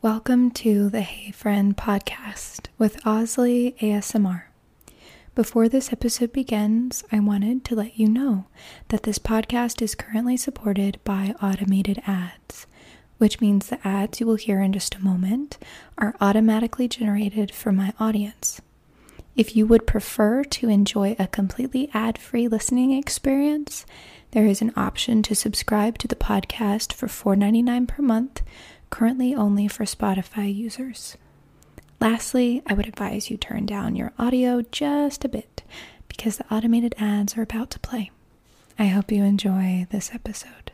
Welcome to the Hey Friend podcast with Osley ASMR. Before this episode begins, I wanted to let you know that this podcast is currently supported by automated ads, which means the ads you will hear in just a moment are automatically generated for my audience. If you would prefer to enjoy a completely ad free listening experience, there is an option to subscribe to the podcast for $4.99 per month, currently only for Spotify users. Lastly, I would advise you turn down your audio just a bit because the automated ads are about to play. I hope you enjoy this episode.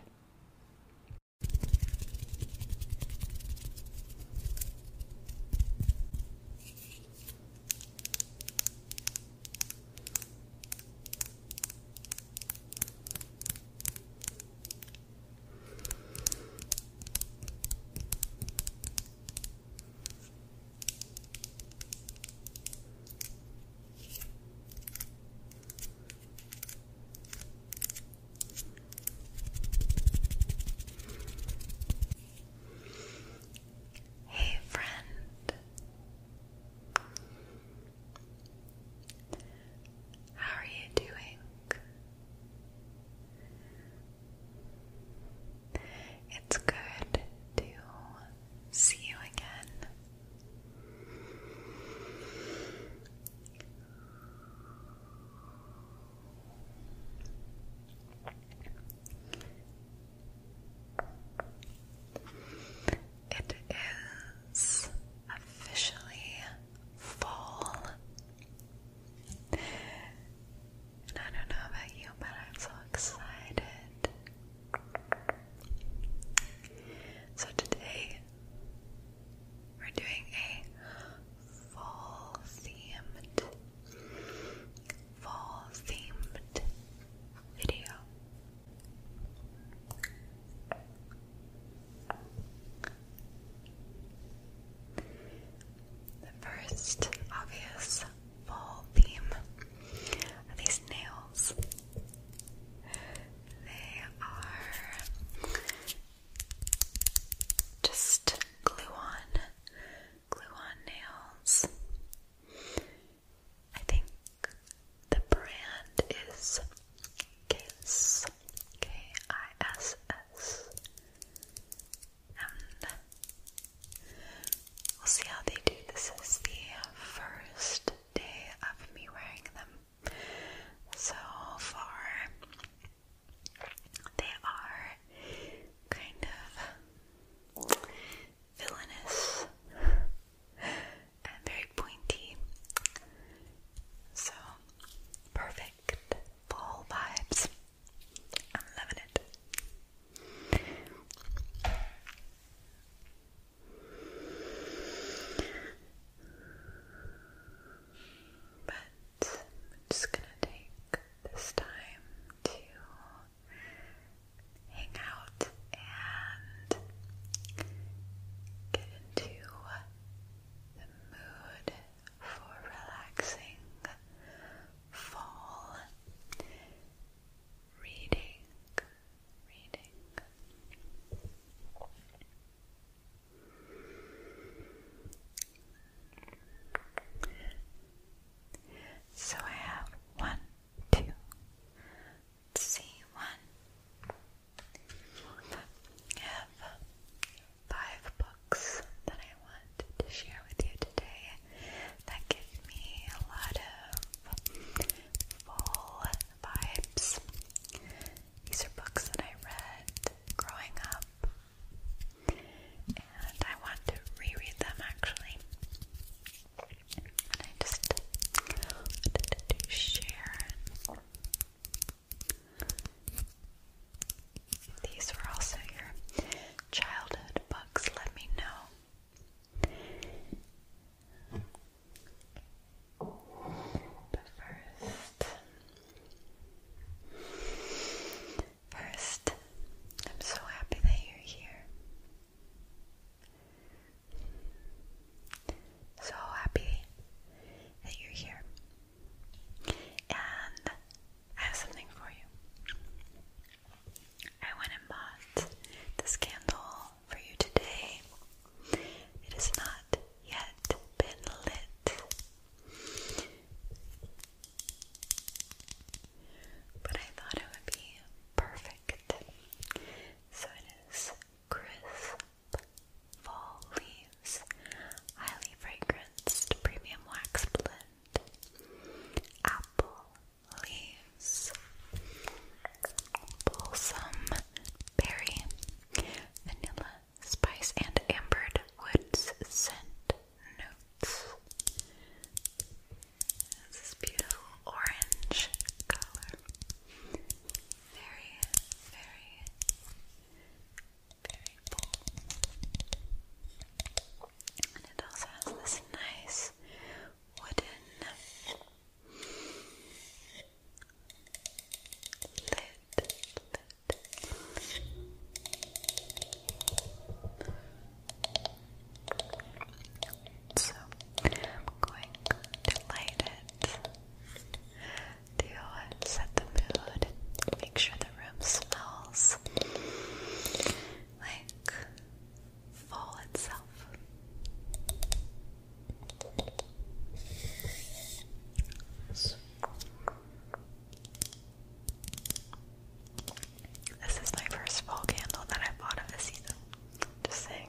Hey, friend, how are you doing? It's good to see you again. It is officially fall. And I don't know about you, but I'm so excited. So today we're doing a fall themed fall themed video. The first obvious fall theme these nails. They are just glue on, glue on nails. I think the brand is Kiss, K I S S, we'll see how they do. This is the first day of me wearing them so far. They are kind of villainous and very pointy. So, perfect fall vibes. I'm loving it. But I'm just gonna take this time to hang out and get into the mood for relaxing fall reading. Reading. So I have one, two, one, I have five books that I want to share with you today that give me a lot of full vibes. These are books that I read growing up. And I want to reread them actually and I just wanted to share. These were also your childhood books. Let me know. But first, first, I'm so happy that you're here. So happy that you're here. And I have something for you. I went and bought this candle for you today. It has not yet been lit. But I thought it would be perfect so it is crisp fall leaves, highly fragranced premium wax blend, apple leaves, balsam berry, vanilla spice, and ambered woods scent notes. It's this beautiful orange color. Very, very, very bold. And it also has this nice wooden lid. So I'm going to light it to set the mood, make sure the room smells like fall itself. This is my first fall candle that I bought of this season. Just saying.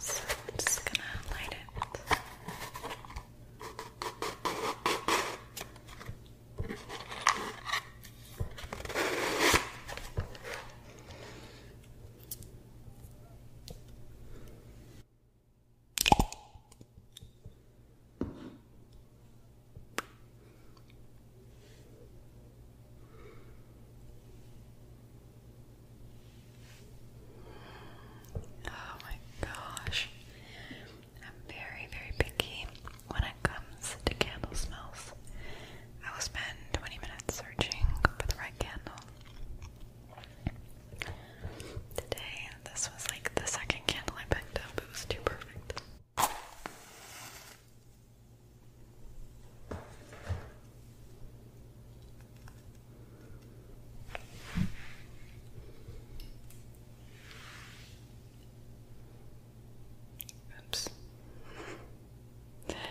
So I'm just gonna light it. Okay. Oh my gosh. I'm very, very picky when it comes to candle smells. I will spend 20 minutes searching for the right candle. Today, this was like the second candle I picked up. It was too perfect. Oops. Okay.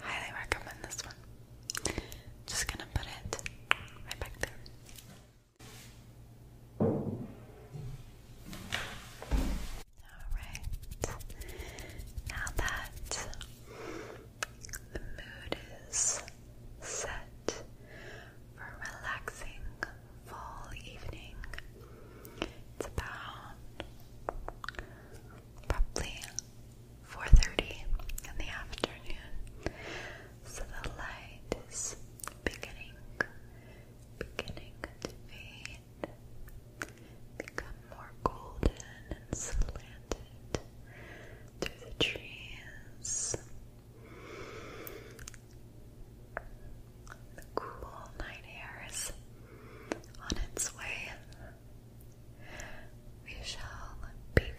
Highly recommend this one. Just gonna put it right back there. Alright. Now that the mood is set for a relaxing fall evening, it's about probably 4:30 in the afternoon. So the light is beginning, beginning to fade, become more golden and slanted through the trees. The cool night air is on its way we shall begin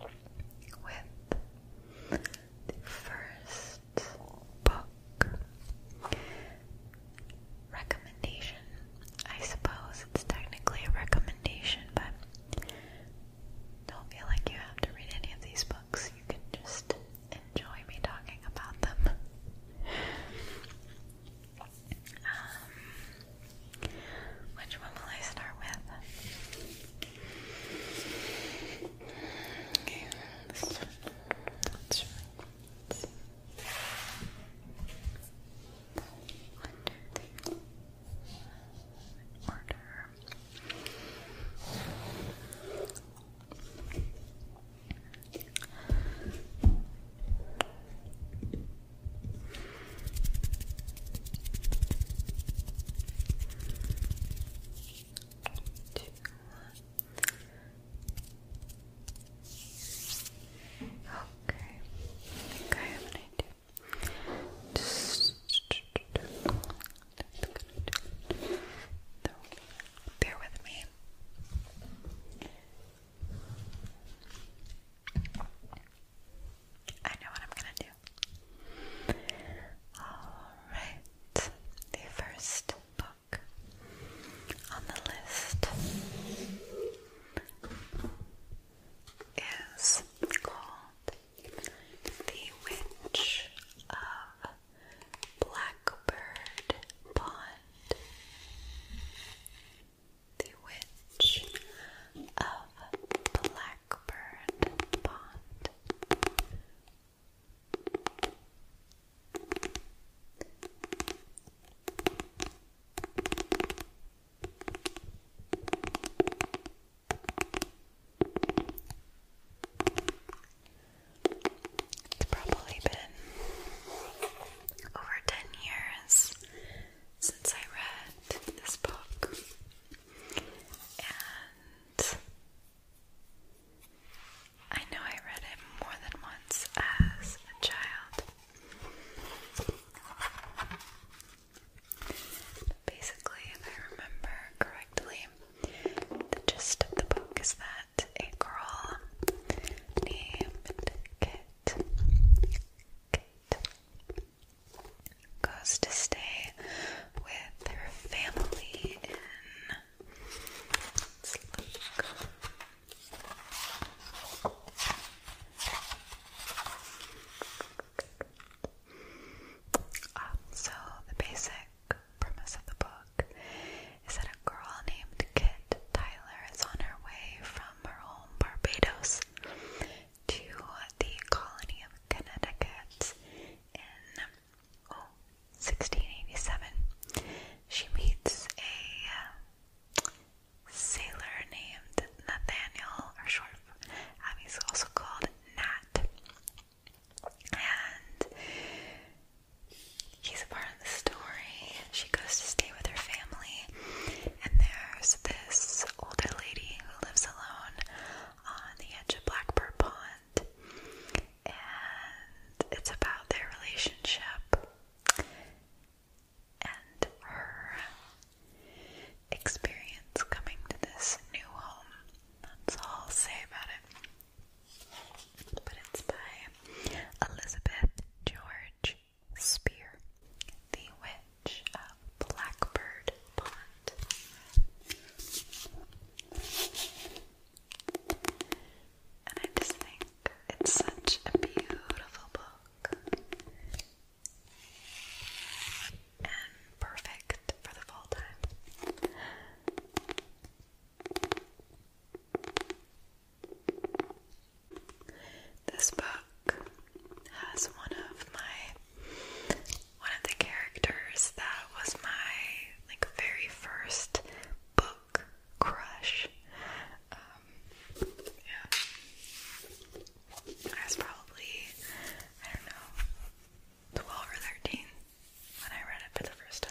with the first book recommendation. I suppose it's technically a recommendation, but don't feel like you have to read any of these books. You can just enjoy me talking about them. Um, which one will I start with? Okay, this Order. Two. Okay. I think I have an idea. bear with me. I know what I'm gonna do. Alright, the first book on the list is called The Witch of Blackbird Pond. The Witch of Blackbird Pond. It's probably been over 10 years since I read this book, and I know I read it more than once as a child. Basically, if I remember correctly, the gist of the book is that a girl named Kate. goes to stay with her family in. so, the basic premise of the book is that a girl named Kit Tyler is on her way from from her home, Barbados, to the colony of Connecticut in 1687. She meets a uh, sailor named Nathaniel, or short of, um, he's also called Nat. And he's a part of the story. She goes to stay with her family, and there's this older lady who lives alone on the edge of Blackbird Pond, and it's about their relationship and her experience coming to this new home. That's all I'll say about it. But it's by Elizabeth George. Spear, the Witch of Blackbird Pond. And I just think it's such a beautiful book and perfect for the fall time. This book has one of my one of the characters that was my like very first book crush. Um, I was probably I don't know twelve or thirteen when I read it for the first time.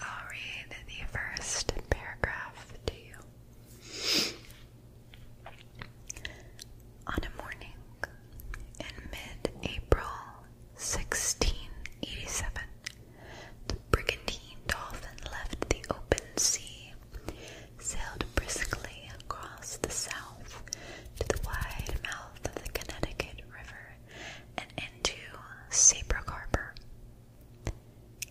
I'll read the first paragraph to you. On a morning in mid April 1687, the brigantine Dolphin left the open sea, sailed briskly across the south to the wide mouth of the Connecticut River and into Seabrook Harbor.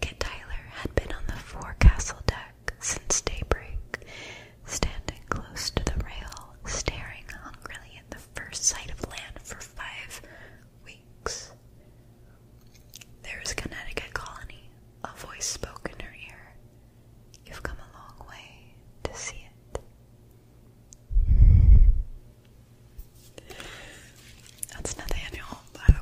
Kit Tyler had been on the forecastle deck since daybreak, standing close to the rail, staring hungrily at the first sight of land for five weeks. There's Connecticut Colony, a voice spoke in her ear. You've come a long way to see it. That's Nathaniel, by the way.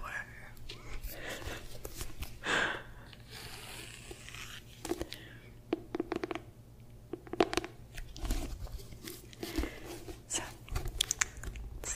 so, that's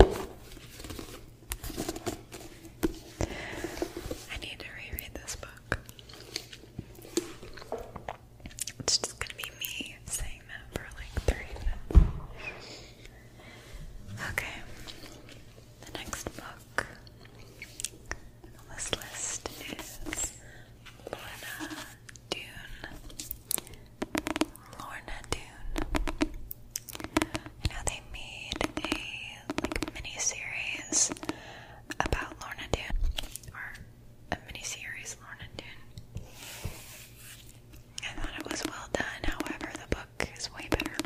I need to reread this book. It's just gonna be me saying that for like three minutes. Okay, the next book on this list is Lena Dune Lorna Doone. I they made a like mini series about Lorna Doone, or a mini series Lorna Doone. I thought it was well done. However, the book is way better.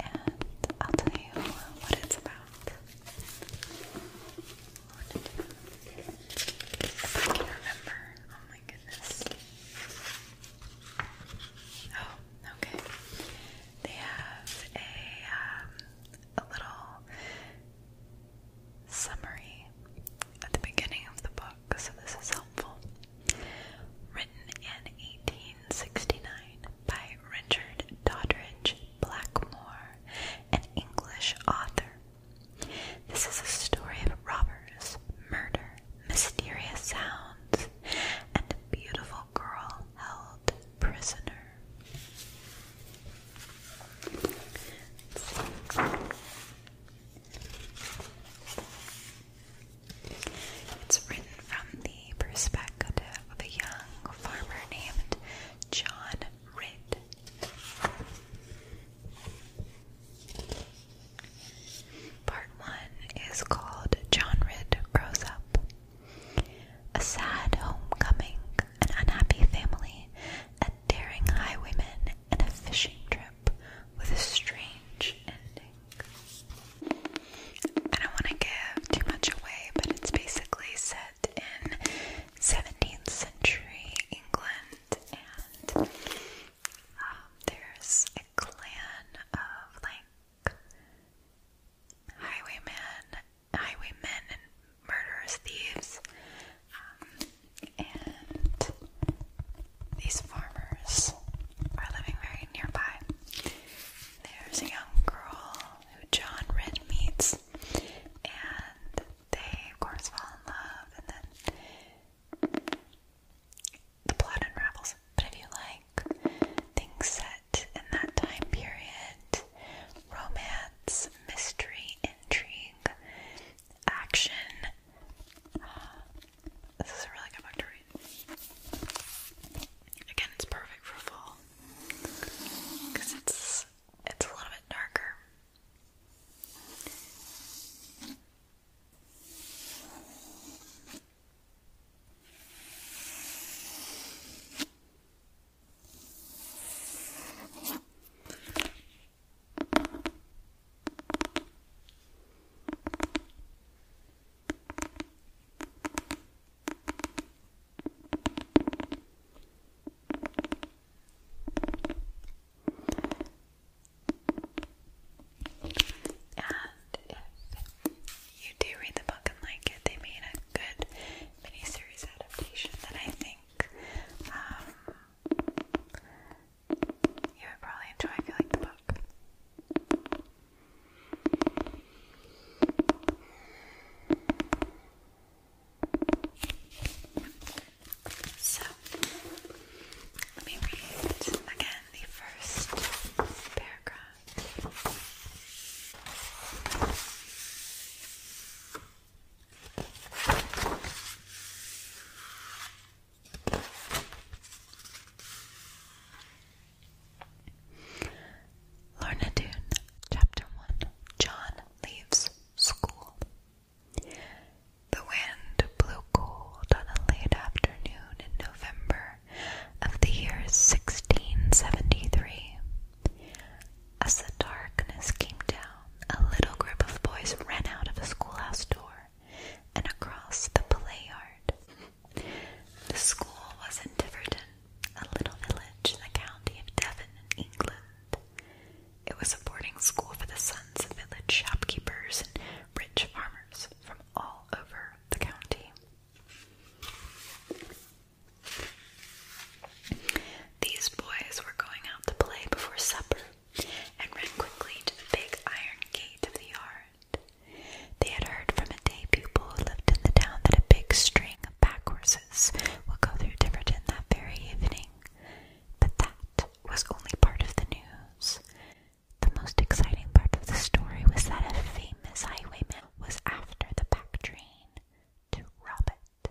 And I'll tell you what it's about. What to Oh okay. They have a, a little summary at the beginning of the book, so this is helpful. Written in 1869 by Richard Doddridge Blackmore, an English author. This is a story of robbers, murder, mysterious sounds, and a beautiful girl held prisoner. It's written from the perspective of a young farmer named John Ridd. Part 1 is called John Ridd Grows Up. A sad homecoming, an unhappy family, a daring highwayman, and a fishing trip with a strange ending. I don't want to give too much away, but it's basically set in 17th century England, and um, there's a clan of like highwaymen, highwaymen and murderous thieves, um, and these farmers are living very nearby. There's a young girl who John Red meets and they, of course, fall in love, and then the plot unravels. But if you like things set in that time period, romance, mystery, intrigue, action, this is a really good book to read. Again, it's perfect for fall because it's it's a little bit darker. And if you do read the book and like it, they made a good miniseries adaptation that I think um, you would probably enjoy if you like the book. So let me read again the first paragraph. Lorna Doone, Chapter 1 John Leaves School. The wind blew cold on a late afternoon in November of the year 1673. As the darkness came down, a little group of boys ran out of the schoolhouse door and across the play The school was in Tiverton, a little village in the county of Devon England. It was a boarding school for the sons of village shopkeepers and rich farmers from all over the county. These boys were going out to play before supper and ran quickly to the big iron gate of the yard. They had heard from a day pupil who lived in the town that a big string of pack horses will go through Tiverton that very evening. But that was only part of the news. The most exciting part of the story was that a famous highwayman was after the pack train to rob it.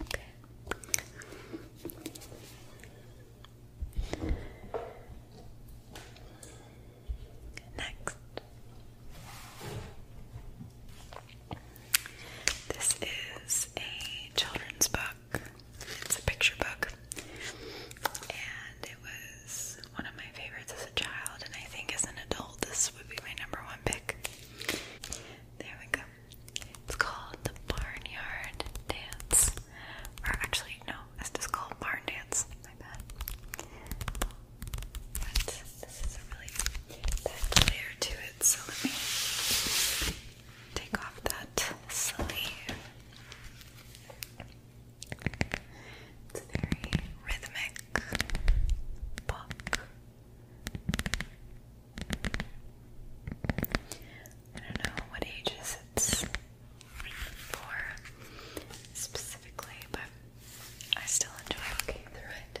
Okay. Next. This is a children's book it's a picture book. And it was one of my favorites as a child, and I think as an adult, this would be my number one pick. There we go. It's called The Barnyard Dance. Or actually, no, it's just called Barn Dance. My bad. this is a really bad layer to it, so let me take off that sleeve. It's a very rhythmic book. I don't know what ages it's for specifically, but I still enjoy looking through it.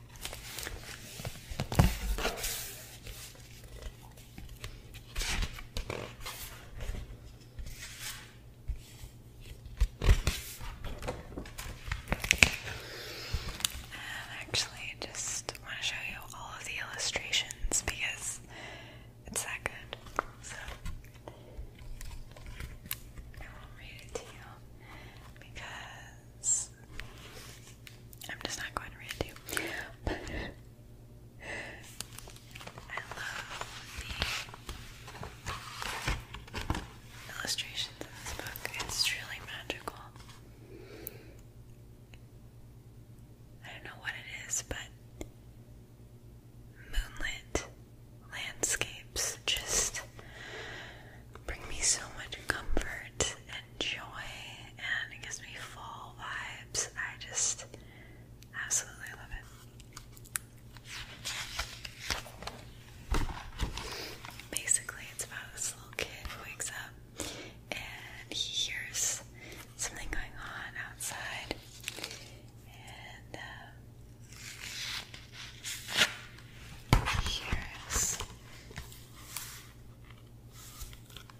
Um, actually just want to show you all of the illustrations because it's that good. So I will read it to you because I'm just not going to read you. I love the illustrations in this book. It's truly magical. I don't know what it is, but moonlit landscapes just bring me so much comfort and joy, and it gives me fall vibes. I just absolutely love it. Basically, it's about this little kid who wakes up and he hears something going on outside, and uh, Here's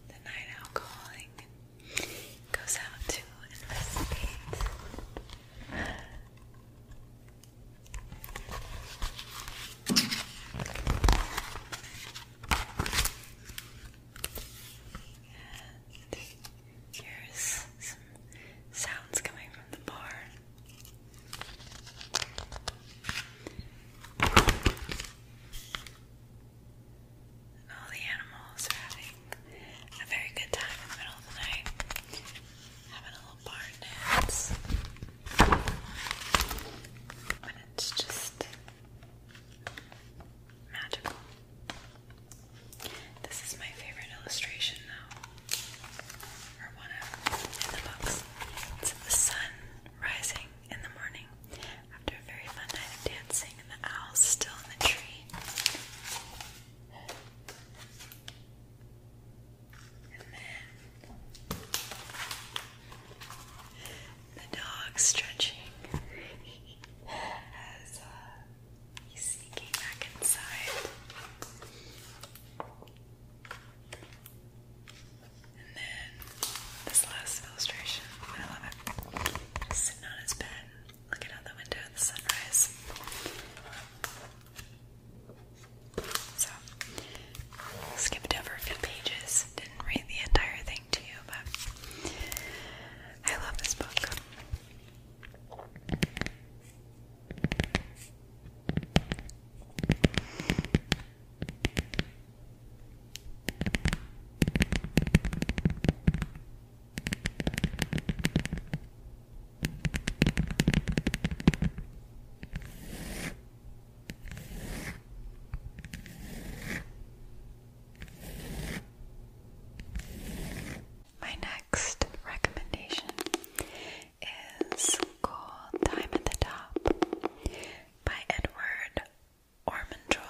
the night owl calling goes out to investigate. And here's some sounds coming from the barn all the animals are having a very good time in the middle of the night, having a little barn it's just magical. This is my favorite illustration, though or one of in the books. It's the sun rising in the morning after a very fun night of dancing, and the owl's still in the tree. And then the dog stretching as uh, he's sneaking back inside. And then this last illustration, I love it. sitting on his bed, looking out the window at the sunrise. So, skipped over a few pages, didn't read the entire thing to you, but I love this book. My next recommendation is called Time at the Top by Edward Ormondroyd.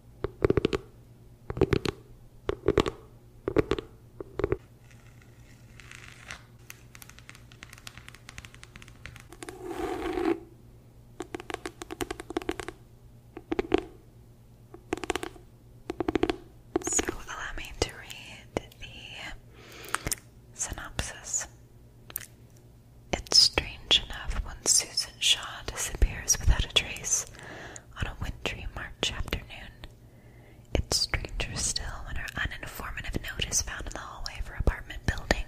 So, allow me to read the synopsis. It's strange enough when Susan Shaw disappears without a trace on a wintry March afternoon. It's stranger still when her uninformative note is found in the hallway of her apartment building,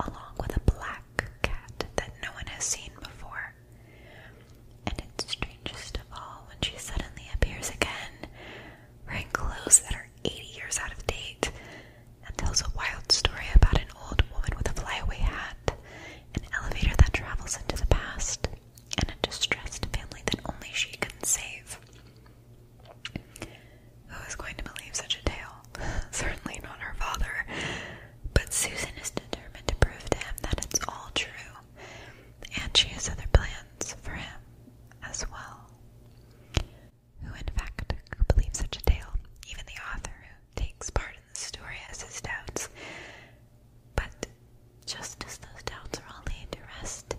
along with a black cat that no one has seen before. And it's strangest of all when she suddenly appears again, wearing clothes that are 80 years out of date, and tells a wild story about an old woman with a flyaway hat, an elevator that travels into the past, and a distressed family that only she can save. Who is going to believe such a tale? Certainly not her father. But Susan is determined to prove to him that it's all true, and she has other plans for him as well who in fact could believe such a tale? Even the author who takes part in the story has his doubts. But just as those doubts are all laid to rest,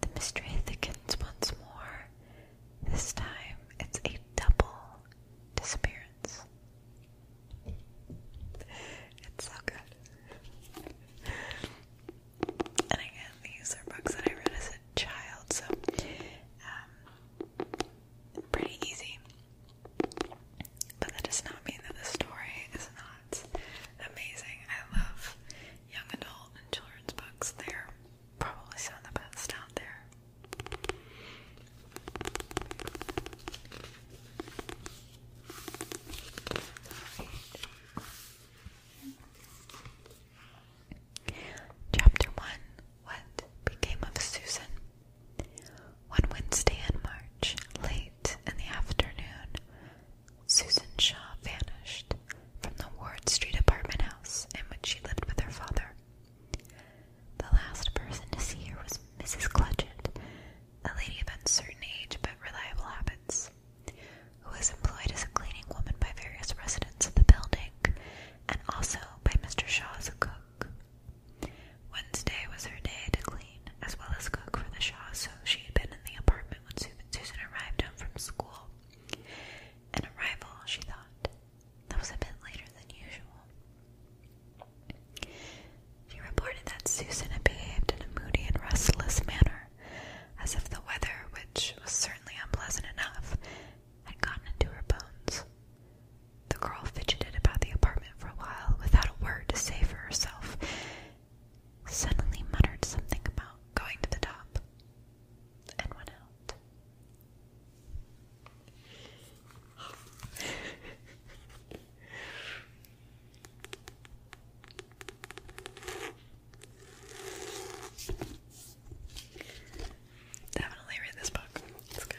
the mystery thickens once more. This time it's a double disappearance. It's so good. And again, these are books that I read as a child, so um, pretty easy. But that does not mean that the story is not amazing. I love young adult and children's books. They're probably some of the best out there. Chapter 1 What Became of Susan? One Wednesday in March, late in the afternoon, Susan Shaw vanished from the Ward Street apartment house in which she lived with her father. The last person to see her was Mrs. Clutchett, a lady of uncertain age but reliable habits, who was employed as a cleaning woman by various residents of the building and also by Mr. Shaw's cook. Wednesday was her day to clean, as well as cook for the Shaws, so she had been in the apartment when Susan arrived home from school. An arrival, she thought, that was a bit later than usual. She reported that Susan had behaved in a moody and restless manner, as if the weather, which was certainly unpleasant enough, had gotten into her bones. The girl fidgeted about the apartment for a while without a word to say for herself, suddenly muttered something about going to the top, and went out. Definitely read this book. It's good.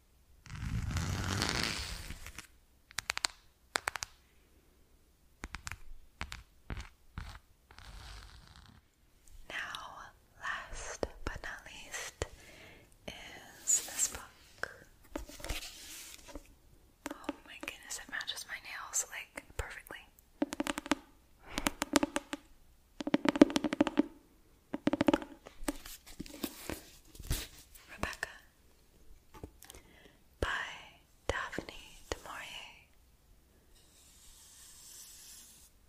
Now, last but not least, is this book. Oh my goodness, it matches my nails like perfectly. Rebecca by Daphne du Maurier.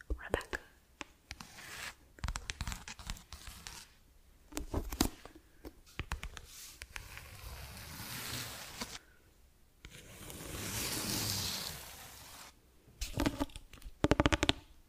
Rebecca.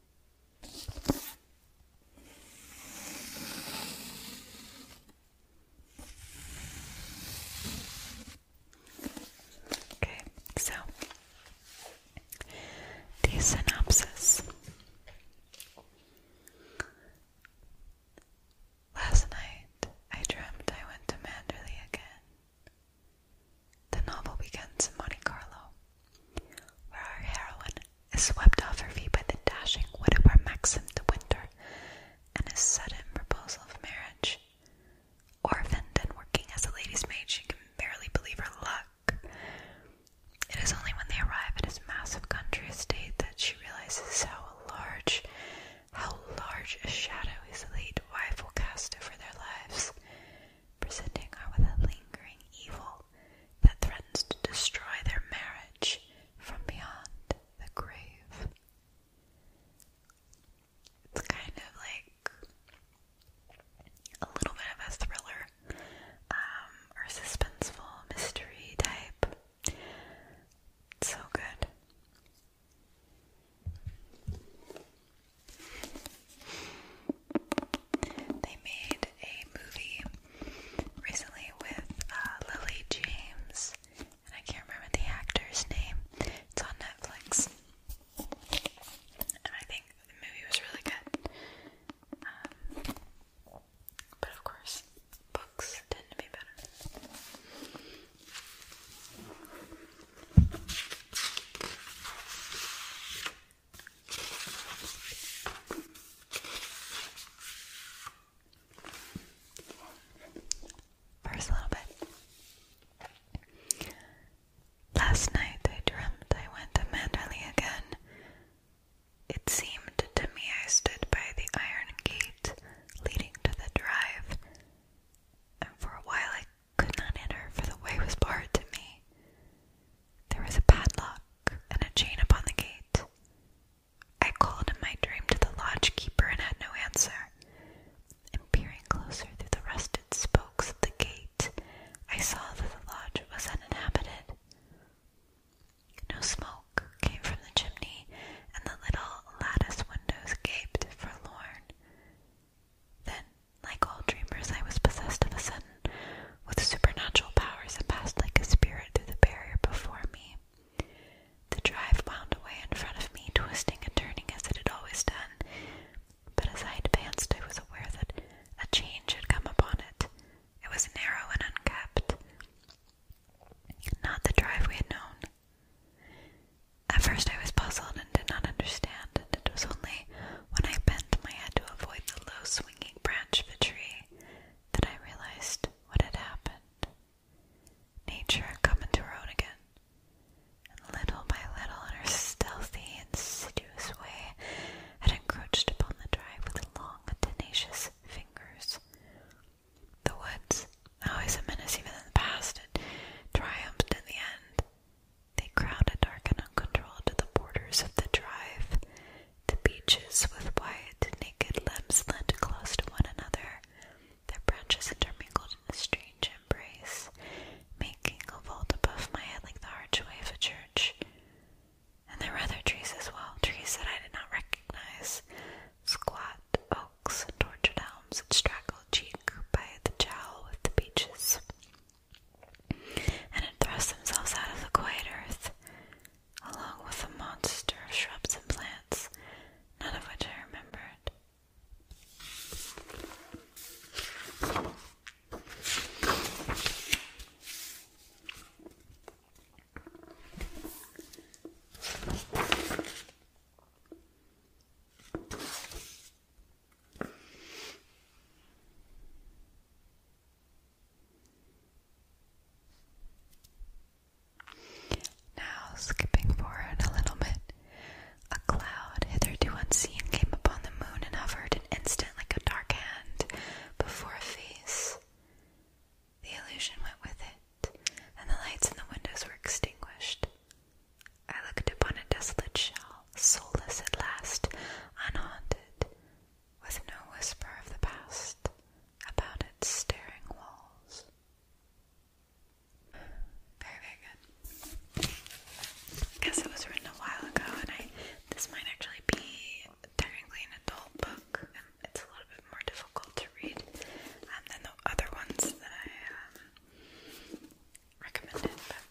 Okay, so the synopsis. Last night I dreamed I went to Manderley again. The novel begins in Monte Carlo, where our heroine is swept off her feet by the dashing widower Maxim de Winter and his sudden proposal of marriage. Orphaned and working as a lady's maid, she can barely believe her luck. It is only when they arrive at his massive country estate that she realizes how large, how large a shadow his late wife will cast over their lives presenting her with a lingering evil that threatens to destroy their marriage from beyond the grave. It's kind of like a little bit of a thriller um, or suspenseful mystery type. so good. They made a movie recently with uh, Lily James, and I can't remember the actor's name. It's on Netflix, and I think the movie was really good. Um, but of course, books tend to be better. First little bit. Last night I dreamed I went to Manderley again. It seemed to me I stood by the iron gate leading to the drive, and for a while I could not enter, for the way was barred to me. There was a padlock and a chain upon the gate. I called in my dream to the lodge keeper and had no answer. And peering closer through the rusted spokes of the gate, I saw that the lodge was uninhabited. No smoke came from the chimney, and the little lattice windows gaped forlorn. Then like all dreamers, I was possessed of a sudden with supernatural powers and passed like a spirit through the barrier before me. The drive wound away in front of me, twisting and turning as it had always done, but as I advanced, I was aware that a change had come upon it. It was narrow and unkept, not the drive we had known. At first, I was puzzled and did not understand, and it was only when I bent my head to avoid the low swinging branch of a tree that I realized what had happened. Nature had come into her own again, and little by little, in her stealthy, insidious way, had encroached upon the drive with long, tenacious fingers. The woods, always a menace even in the past, had triumphed in the end, they crowded dark and uncontrolled to the borders of the drive. The beeches with white, naked limbs leant close to one another, their branches intermingled in a strange embrace, making a vault above my head like the archway of a church. And there were other trees as well, trees that I did not recognize, squat oaks and tortured elms that straggled cheek by the jowl with the beeches and had thrust themselves out of the quiet earth, along with a monster of shrubs and plants, none of which I remembered. Now, skipping forward a little bit, a cloud hitherto unseen came upon the moon and hovered an instant like a dark hand before a face. The illusion went with it, and the lights in the windows were extinguished. I looked upon a desolate shell, soulless at last, unhaunted, with no whisper of the past about its staring walls. Very, very good. I guess it was written a while ago, and I this might actually be technically an adult book, it's a little bit more difficult to read um, than the other ones that I um, recommended.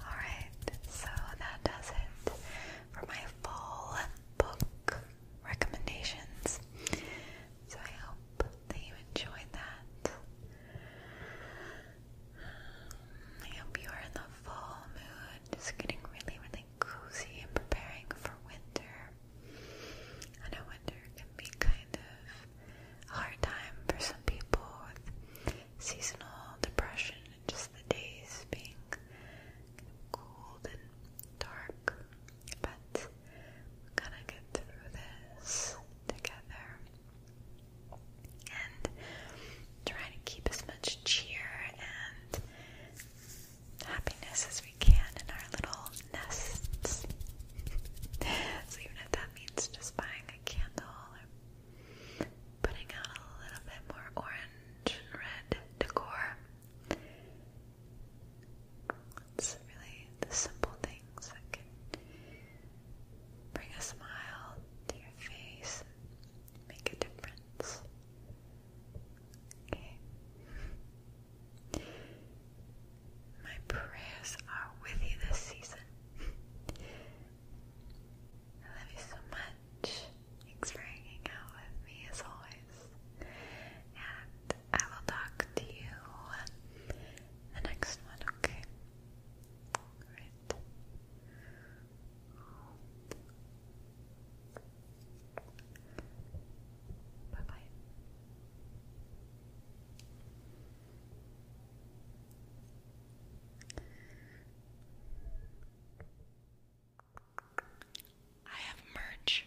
Alright, so that does it for my full book recommendations. So I hope that you enjoyed that. I hope you are in the fall mood, just getting really, really getting cozy and preparing for winter. I know winter can be kind of a hard time for some people with seasonal depression and just the days being cold and dark. But we're gonna get through this together and try to keep as much cheer and happiness as we can in our little nests. so, even if that means just buying a candle or putting out a little bit more orange and red decor, it's really the simple things that can bring a smile to your face and make a difference. Okay. My prayers are with you this season. I love you so much. Thanks for hanging out with me as always. And I will talk to you the next one, okay? Right. Bye bye. I have merch.